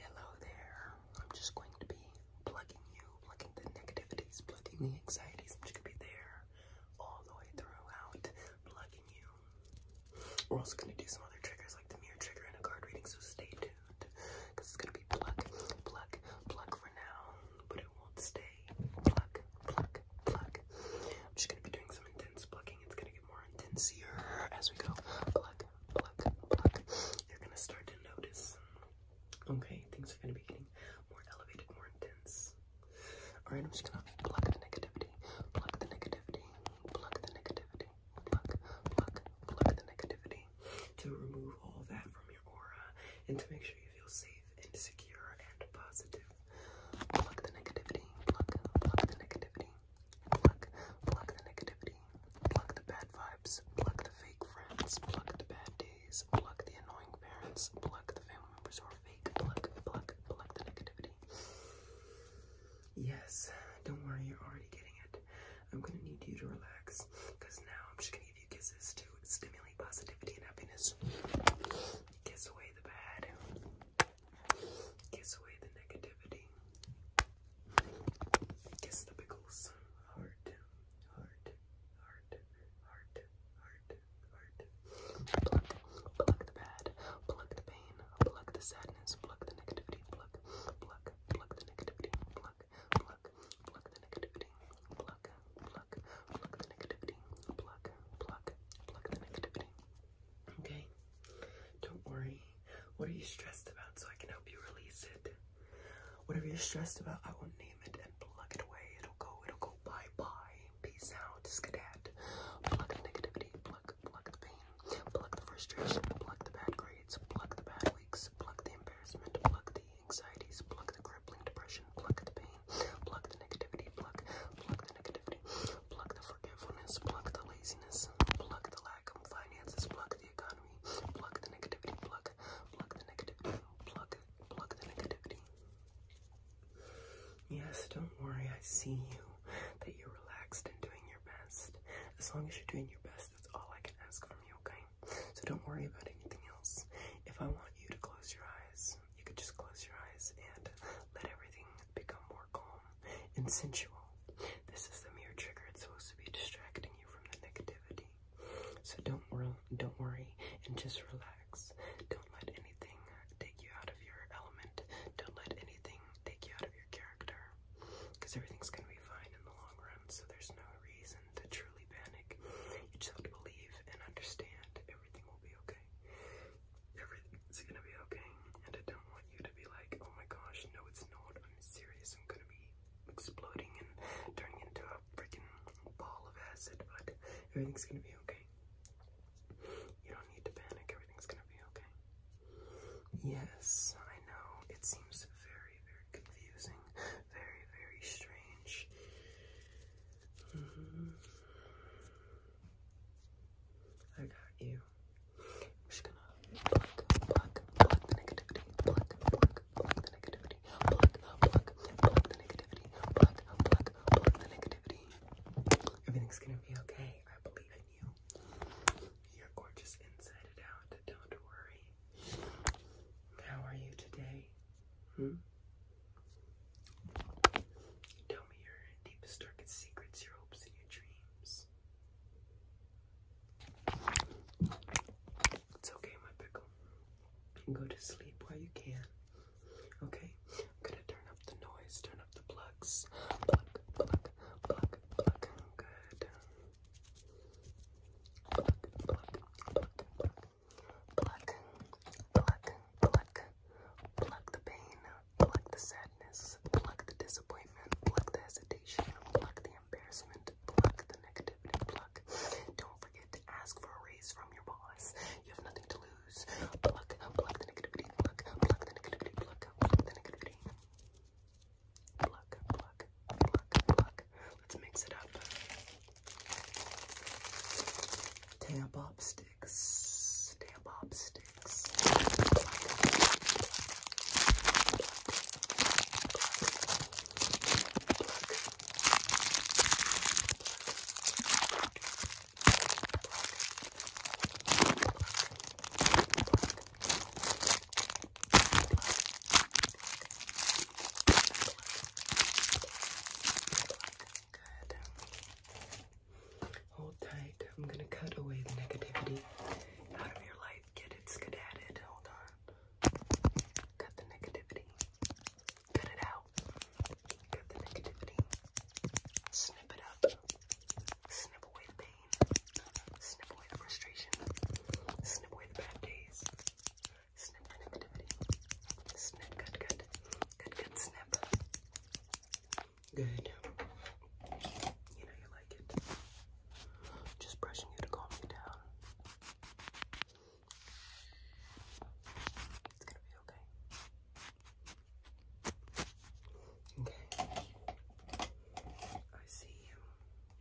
Hello there. I'm just going to be plugging you, plugging the negativities, plugging the anxieties. I'm just going to be there all the way throughout, plugging you. We're also going to do some other triggers like the mirror trigger and a card reading, so stay tuned because it's going to be plug, plug, plug for now, but it won't stay. Plug, plug, plug. I'm just going to be doing some intense plugging. It's going to get more intense as we go. Plug, pluck, pluck, you're gonna start to notice. Okay, things are gonna be getting more elevated, more intense. All right, I'm just gonna pluck the negativity, pluck the negativity, pluck the negativity, pluck, pluck, pluck the negativity to remove all that from your aura and to make sure you feel safe and secure and positive. Pluck the negativity, pluck, pluck the negativity. Pluck, pluck the negativity, pluck the bad vibes, pluck the fake friends, pluck the bad days, pluck the annoying parents, pluck the family members who are fake, pluck, pluck, pluck the negativity. Yes, don't worry, you're already getting it. I'm gonna need you to relax, because now I'm just gonna give you kisses to stimulate positivity and happiness. Kiss away the bad, kiss away the negativity. Kiss the pickles. Heart, heart, heart, heart, heart, heart. Pluck, pluck the bad, pluck the pain, pluck the sadness, pluck the negativity, pluck, pluck, pluck the negativity, pluck, pluck, pluck the negativity, pluck, pluck, pluck the negativity, pluck, pluck, pluck the negativity. Okay? Don't worry. What are you stressed about so I can help you release it? Whatever you're stressed about, I will name it and plug it away. It'll go, it'll go bye-bye. Peace out, skedat. Plug the negativity, plug, plug the pain, plug the frustration, plug the bad grades, plug the bad weeks, plug the embarrassment, plug the anxieties, plug the crippling depression, plug the pain, plug the negativity, plug, plug the negativity, plug the forgetfulness, the laziness, pluck the lack of finances, pluck the economy, pluck the negativity, pluck, pluck the negativity, pluck, pluck the negativity. Yes, don't worry, I see you, that you're relaxed and doing your best. As long as you're doing your best, that's all I can ask from you, okay? So don't worry about anything else. If I want you to close your eyes, you could just close your eyes and let everything become more calm and sensual. This is the mere trigger. It's supposed to be distracting you from the negativity. So don't worry, don't worry, and just relax. Don't let anything uh, take you out of your element. Don't let anything take you out of your character, because everything's gonna be fine in the long run. So there's no reason to truly panic. You just have to believe and understand everything will be okay. Everything's gonna be okay, and I don't want want you to be like, oh my gosh, no, it's not. I'm serious. I'm gonna be exploding and turning into a freaking ball of acid, but everything's gonna be okay. You don't need to panic. Everything's gonna be okay. Yes, I know. It seems very, very confusing, very, very strange. Mm-hmm. I got you. We're just gonna pluck, pluck, pluck the negativity, pluck, pluck, pluck the negativity, pluck, pluck, pluck the negativity, pluck, pluck, pluck the negativity. Everything's gonna be okay. I believe in you. You're gorgeous inside and out. Don't worry. How are you today? Hmm? Tell me your deepest, darkest secrets, your hopes, and your dreams. It's okay, my pickle. You can go to sleep while you can. Okay? gonna turn up the noise, turn up the plugs. Plug, plug, plug, plug. Good. Plug, plug, plug, plug. Pluck, pluck, pluck, pluck the pain Pluck the sadness, pluck the disappointment, pluck the hesitation, pluck the embarrassment, pluck the negativity, pluck. Don't forget to ask for a raise from your boss. You have nothing to lose. Pluck, pluck the negativity, pluck, pluck the negativity, pluck, pluck the negativity. Pluck, pluck, pluck, pluck. Let's mix it up. Tab up, sticks, tail sticks. Hold tight. I'm gonna cut away the negativity out of your life. Get it skedadded. Hold on. Cut the negativity. Cut it out. Cut the negativity. Snip it up. Snip away the pain. Snip away the frustration. Snip away the bad days. Snip the negativity. Snip, cut, cut. Cut, cut, snip. Good. You know you like it. Just brushing you to calm you down. It's gonna be okay. Okay. I see you.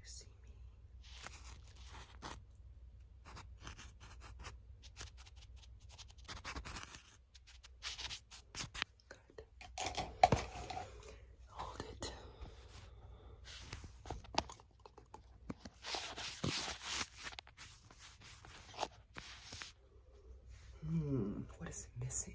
You see me. Good. Hold it. Hmm, what is missing?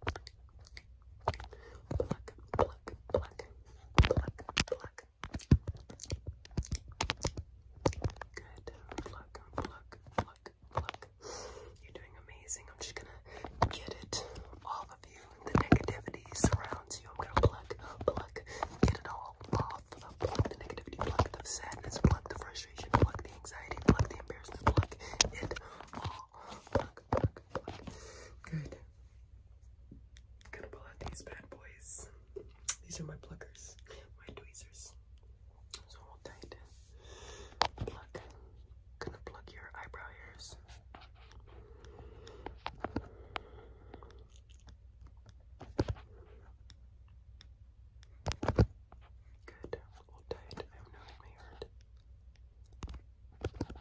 Pluck, pluck, pluck, pluck, pluck. Good. Pluck, pluck, pluck, pluck. You're doing amazing. I'm just gonna get it all of you. The negativity surrounds you. I'm gonna pluck, pluck, get it all off. the negativity, pluck the sadness, pluck the frustration, pluck the anxiety, pluck the embarrassment, pluck it all Good. gonna pull out these bad boys. These are my pluckers, my tweezers. So hold tight. Pluck. Gonna pluck your eyebrow hairs. Good. Hold tight. I know it may hurt. Good. Good. Okay.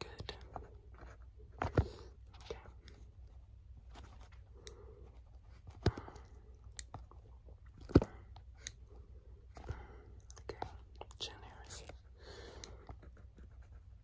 Good. Okay. Okay, chin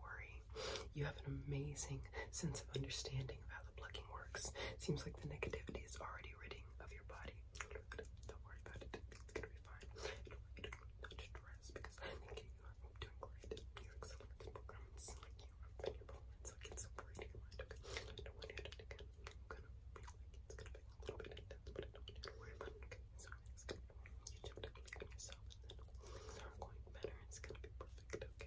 worry, you have an amazing sense of understanding of how the plucking works. Seems like the negativity is already ridding of your body. Don't worry about it, it's gonna be fine. Don't because you are doing great. You're excellent in performance, like you are in your performance, so great don't want do it again. i gonna feel like it's gonna be a little bit don't worry about it. it's gonna be you jumped up on yourself, and then things going better. It's gonna be perfect. Okay.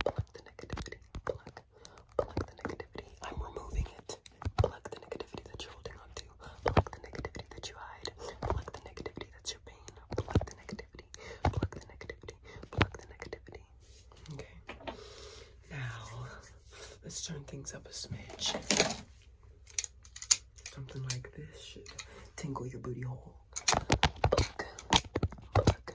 pluck the negativity, pluck, pluck the negativity. I'm removing it. Pluck the negativity that you're holding on to, pluck the negativity that you hide, pluck the negativity that's your pain, pluck the negativity, pluck the negativity, pluck the negativity. Okay. Now let's turn things up a smidge. Something like this should tingle your booty hole. Pluck, pluck,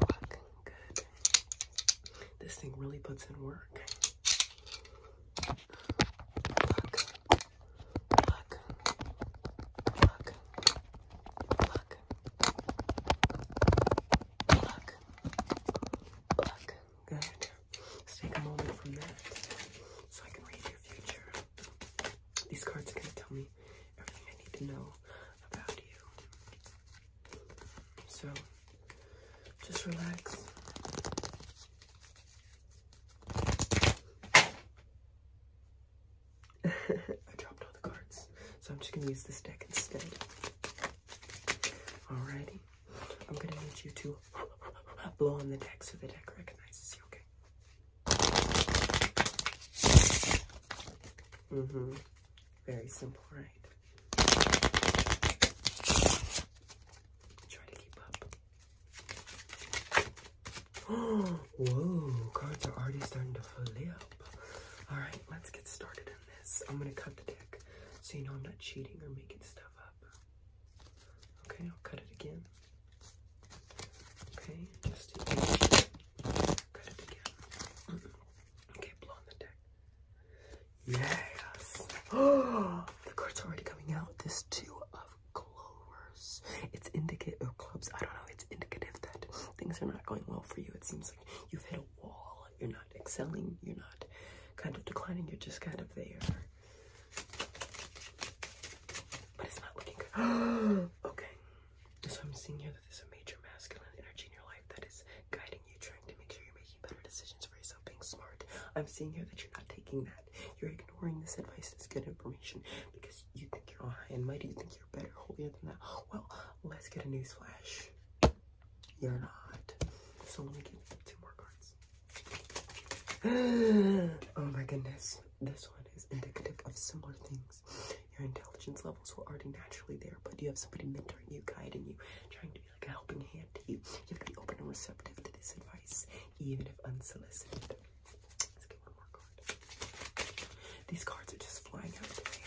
Looking good. This thing really puts in work. Pluck, pluck, pluck, pluck, pluck, pluck. Good. Let's take a moment from that so I can read your future. These cards are going to tell me everything I need to know about you. So just relax. I dropped all the cards, so I'm just gonna use this deck instead. Alrighty, I'm gonna need you to blow on the deck so the deck recognizes you, okay? hmm very simple, right? Try to keep up. whoa, cards are already starting to flip. All right, let's get started on this. I'm gonna cut the deck so you know I'm not cheating or making stuff up. Okay, I'll cut it again. Okay, just cut it again. Okay, blow on the deck. Yes. Oh, the card's are already coming out. This two of clovers. It's indicative of clubs. I don't know. It's indicative that things are not going well for you. It seems like you've hit a wall. You're not excelling. You're not kind of declining. You're just kind of there. But it's not looking good. okay. So I'm seeing here that there's a major masculine energy in your life that is guiding you, trying to make sure you're making better decisions for yourself, being smart. I'm seeing here that you're not taking that. You're ignoring this advice, this good information, because you think you're all high and mighty. You think you're better, holier than that. Well, let's get a news flash. You're not. So let me get two more cards. oh my goodness. This one is indicative of similar things your intelligence levels were already naturally there, but you have somebody mentoring you, guiding you, trying to be like a helping hand to you. You have to be open and receptive to this advice, even if unsolicited. Let's get one more card. These cards are just flying out today.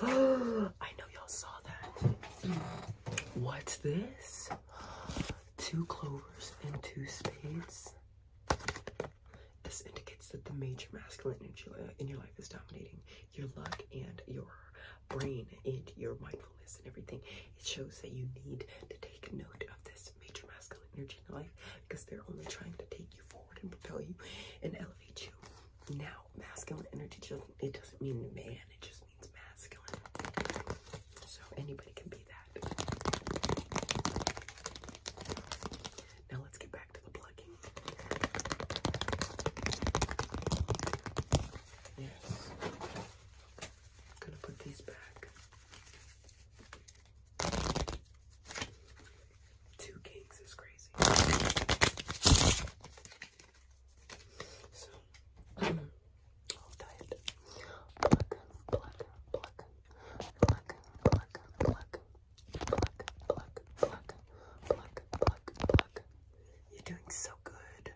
I know y'all saw that. What's this? Two clovers and two spades. This indicates that the major masculine energy in your life is dominating your luck and your brain and your mindfulness and everything. It shows that you need to take note of this major masculine energy in your life because they're only trying to take you forward and propel you and elevate you. Now, masculine energy it doesn't mean man, it just means masculine. So anybody can be that. Now let's get back to the plugging. Yes. gonna put these back. Two kings is crazy. So, I'll tie it. Plug, plug, pluck, pluck, pluck, pluck, pluck, pluck, pluck, pluck, pluck. You're doing so good.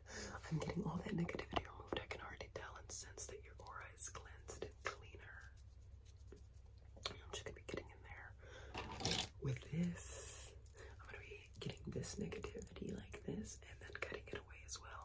I'm getting all that negativity removed. I can already tell and sense that your aura is cleansed and cleaner. I'm just gonna be getting in there with this. I'm gonna be getting this negativity like this and then cutting it away as well.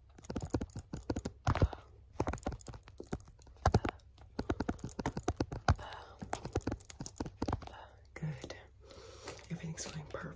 Good. Everything's going perfect.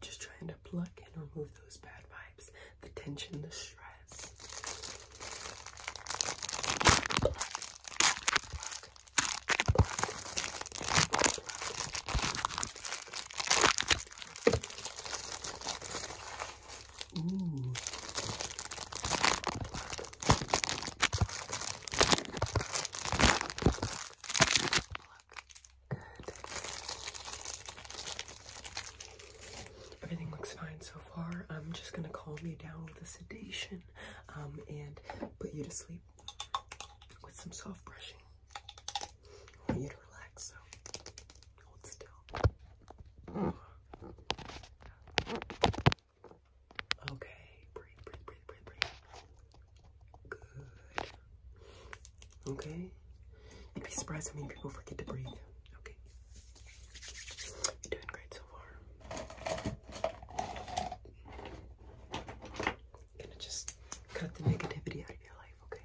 Just trying to pluck and remove those bad vibes, the tension, the stress. Everything looks fine so far. I'm just gonna calm you down with a sedation um, and put you to sleep with some soft brushing. want you to relax, so hold still. Okay, breathe, breathe, breathe, breathe, breathe. Good. Okay. You'd be surprised how many people forget to breathe. Okay. You're doing great so far. gonna just cut the negativity out of your life, okay?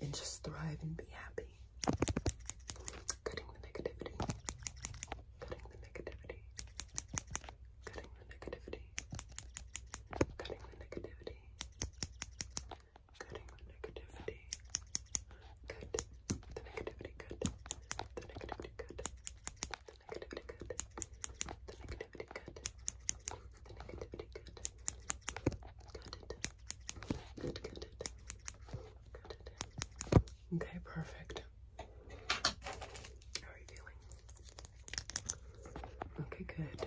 and just thrive and be happy. Cutting the negativity. Cutting the negativity. Cutting the negativity. Cutting the negativity. Cutting the negativity. Cut the negativity. Cut the negativity. Cut the negativity. Cut the negativity. Okay, perfect. How are you feeling? Okay, good.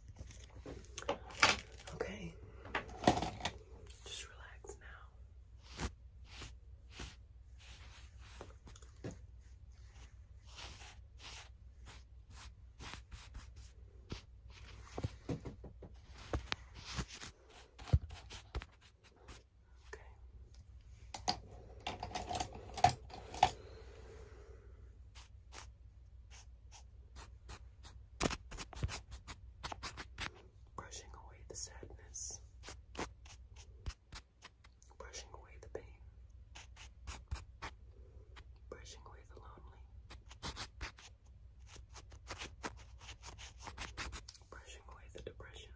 Okay. Just relax now. Okay. Brushing away the sadness, brushing away the pain, brushing away the loneliness. brushing away the depression.